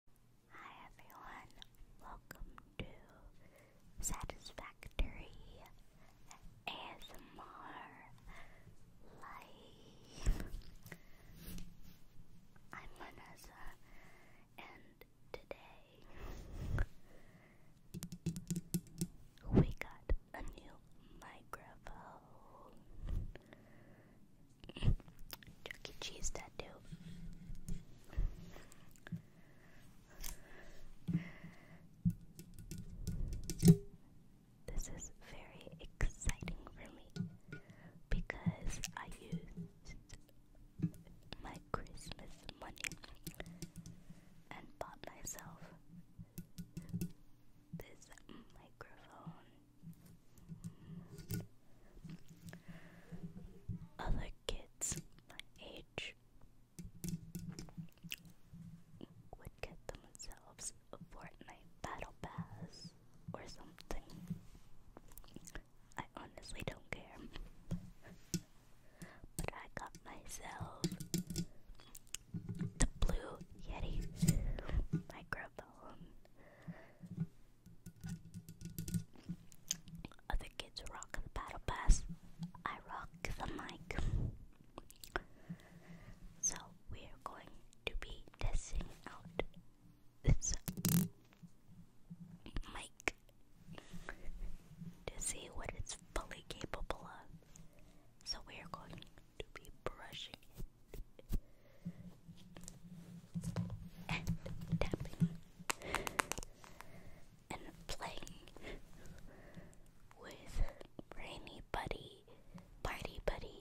Hi everyone, welcome to Satisfactory ASMR Live. I'm Vanessa, and today we got a new microphone. Chuck Cheese tattoo. This is very exciting for me because I used my Christmas money and bought myself this microphone other kids my age would get themselves a Fortnite battle pass or something. I honestly don't care. But I got myself the blue Yeti microphone other kids rock the battle pass. I rock the mic. So we're going to be testing out this mic to see what it's fully capable of. So we're going to be brushing and tapping and playing with Rainy Buddy, Party Buddy,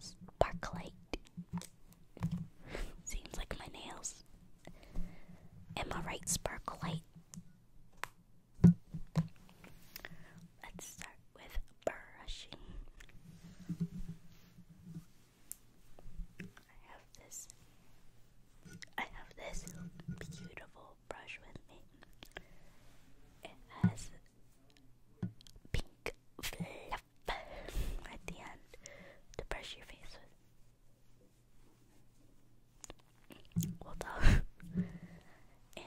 Sparklight. Seems like my nails. Am I right, Sparklight? Let's start with brushing. I have this I have this beautiful brush with me. It has pink fluff at the end to brush your face with. Well done and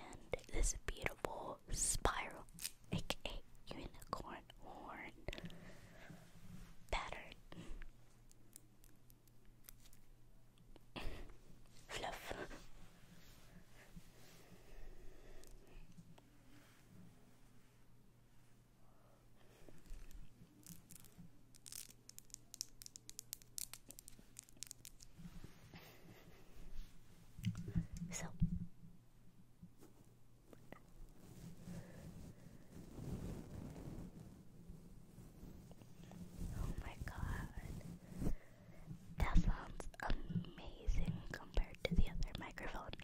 this beautiful spiral, aka unicorn horn pattern. Fluff. So Oh my god. That sounds amazing compared to the other microphone.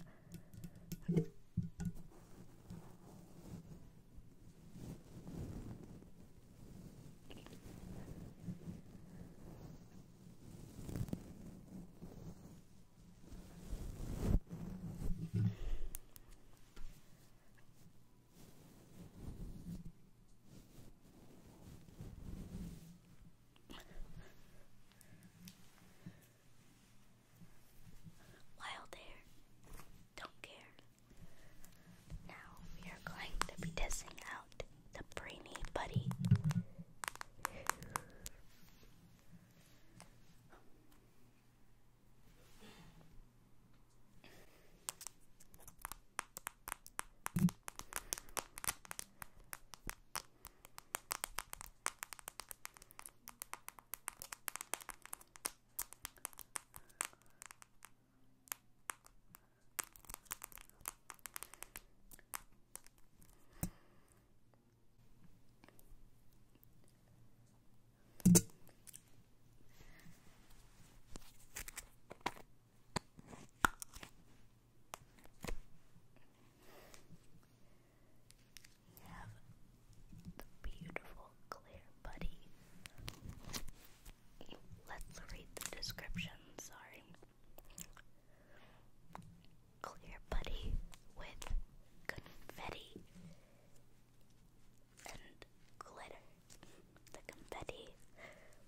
Wild hair don't care. Now we are going to be testing out the brainy buddy. You have beautiful clear buddy. Let's read the description, sorry. Clear putty with confetti and glitter. The confetti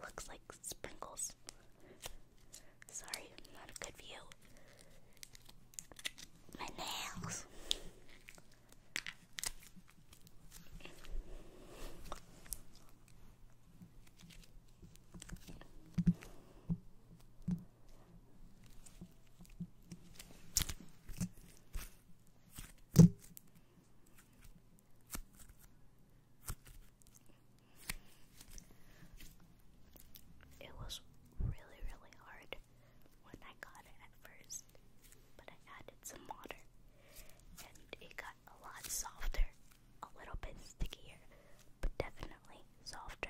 looks like sprinkles. Sorry, not a good view. My nails. It was really, really hard when I got it at first, but I added some water and it got a lot softer, a little bit stickier, but definitely softer.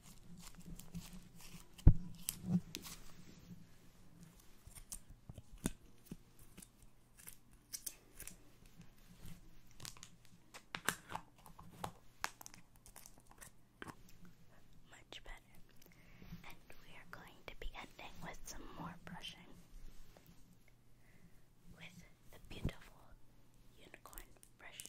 Much better. And we are going to be ending with some more brushing with the beautiful unicorn brush.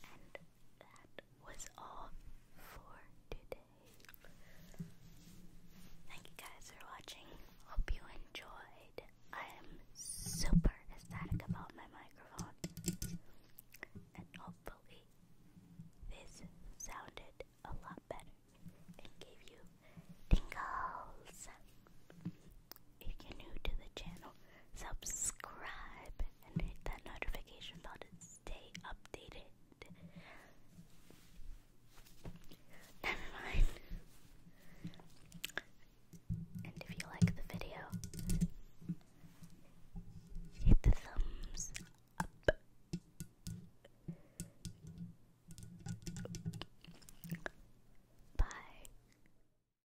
And that was all for today. Thank you guys for watching. Hope you enjoyed. I am super ecstatic about my microphone. And hopefully, this sounded a lot better and gave you tingles if you're new to the channel, subscribe and hit that notification bell to stay updated. Never mind. And if you like the video, hit the thumbs up. Bye.